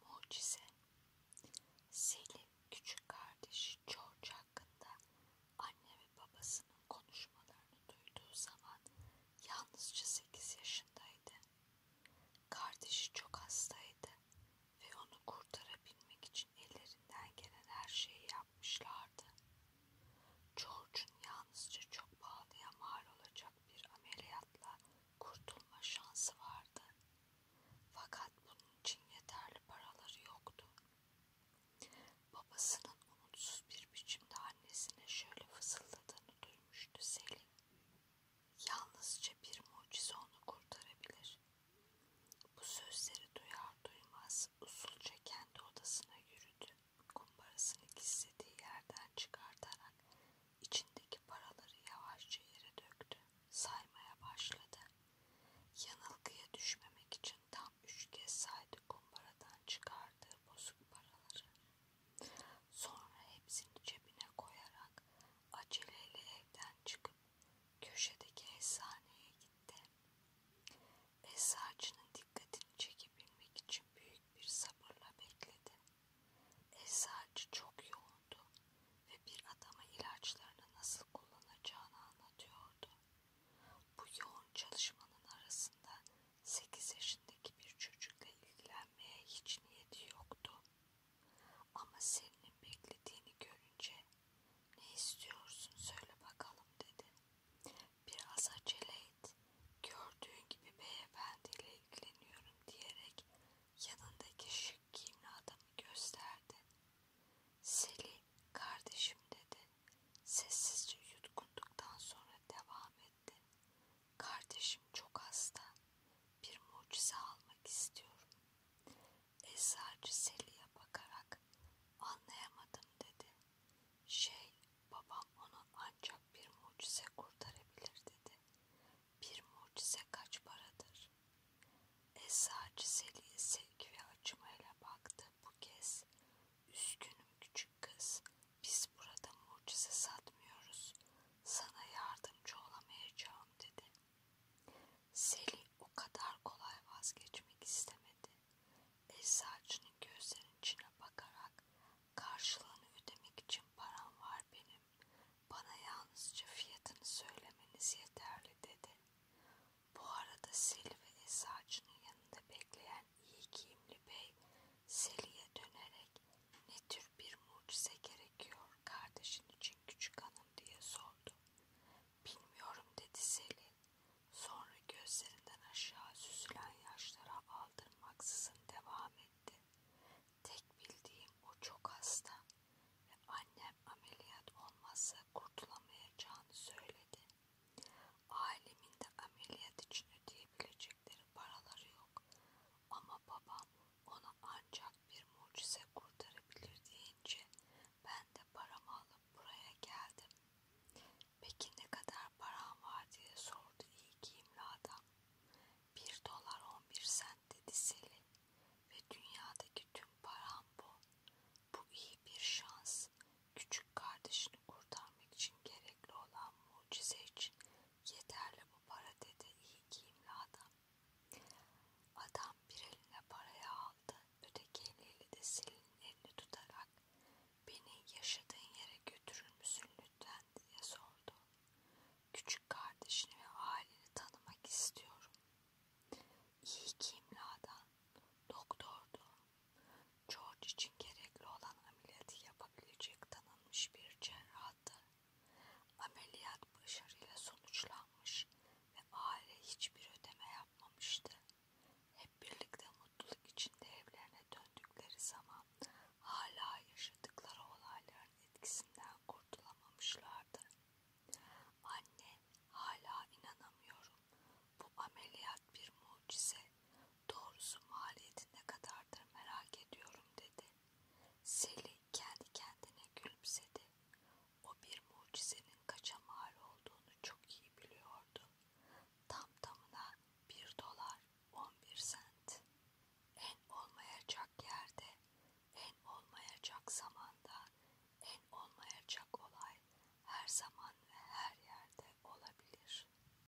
Mucize Selim küçük kardeşi George hakkında anne ve babasının konuşmalarını duyduğu zaman yalnızca 8 yaşındaydı. Kardeşi çok hastaydı ve onu kurtarabilmek için ellerinden gelen her şeyi yapmışlardı. George'un yalnızca çok pahalıya mal olacak bir ameliyatla kurtulma şansı vardı. Fakat bunun için yeterli paraları yoktu. Babasının umutsuz bir biçimde annesine şöyle fısıldadığını duymuştu Selin. Yalnızca bir mucize onu kurtarabilir. Bu sözleri duyar duymaz usulca kendi odasına yürüdü kumbarasını gizlediği yerden çıkartarak içindeki paraları yavaşça yere döktü. Saymaya başladı. Yanılgıya düşmemek için tam üç kez saydı kumbaradan çıkardığı bozuk paraları. Sonra hepsini cebine koyarak aceleyle evden çıkıp köşedeki eczaneye gitti. Eczacının dikkatini çekebilmek için büyük bir sabırla bekledi. Eczacı çok yoğundu ve bir adama ilaçlarını nasıl kullanacağını anlatıyordu. Bu yoğun çalışmanın arasında 8 yaşındaki bir çocukla ilgilenmeye hiç niyeti yoktu. Ama Selin'in beklediğini görünce ne istiyorsun söyle bakalım dedi. Biraz acele et. Gördüğün gibi beyefendiyle ilgileniyorum diyerek yanındaki şık giyimli adamı gösterdi. Seli kardeşim dedi. Sessizce yutkunduktan sonra devam etti. Kardeşim çok hasta. Bir mucize almak istiyorum. Eczacı Seli'ye bakarak anlayamadım dedi. Şey, babam onu ancak bir mucize kurtarabilir dedi. Bir mucize kaç paradır? Esracı Selin'e sevgi ve acımayla baktı bu kez. Üzgünüm küçük kız, biz burada mucize satmıyoruz. Sana yardımcı olamayacağım dedi. Seli o kadar kolay vazgeçmek istemedi. Eczacının gözlerinin içine bakarak karşılığını ödemek için param var benim. Bana yalnızca fiyatını söylemeniz yeterli dedi. Bu arada Seli ve eczacının yanında bekleyen iyi giyimli bey Seli'ye dönerek ne tür bir mucize gerekiyor kardeşin için küçük hanım diye sordu. Bilmiyorum dedi Selin. Sonra gözlerinden aşağı süzülen yaşlara aldırmaksızın devam etti. Tek bildiğim o çok hasta ve annem ameliyat olmazsa kurtulamayacağını söyledi. Ailemin de ameliyat için ödeyebilecekleri paraları yok ama babam onu ancak bir mucize kurtarabilir deyince ben de paramı alıp buraya geldim. Peki ne kadar param var diye sordu iyi giyimli adam. Bir dolar on bir sent dedi Selin ve dünyadaki tüm param bu. Bu iyi bir şans. Küçük kardeşini kurtarmak için gerekli olan mucize için yeterli bu para dedi iyi giyimli adam. Adam bir eline parayı aldı, öteki eliyle de Selin'in elini tutarak beni yaşadığın yere götürür müsün lütfen diye sordu. Küçük kardeşini ve aileni tanımak istiyorum. İyi ki imladan, doktordu. George için gerekli olan ameliyatı yapabilecek tanınmış bir cerrahtı. Ameliyat başarıyla sonuçlanmış ve aile hiçbir ödeme yapmamıştı. Hep birlikte mutluluk içinde evlerine döndükleri zaman hala yaşadıkları olayların etkisinden kurtulamamışlardı. Anne hala inanamıyorum. Bu ameliyat bir mucize. Doğrusu maliyeti ne kadardır merak ediyorum dedi. Seli kendi kendine gülümsedi. O bir mucizenin kaça mal olduğunu çok iyi biliyordu. Tam tamına bir dolar on bir sent. En olmayacak yerde, en olmayacak zamanda, en olmayacak olay her zaman ve her yerde olabilir.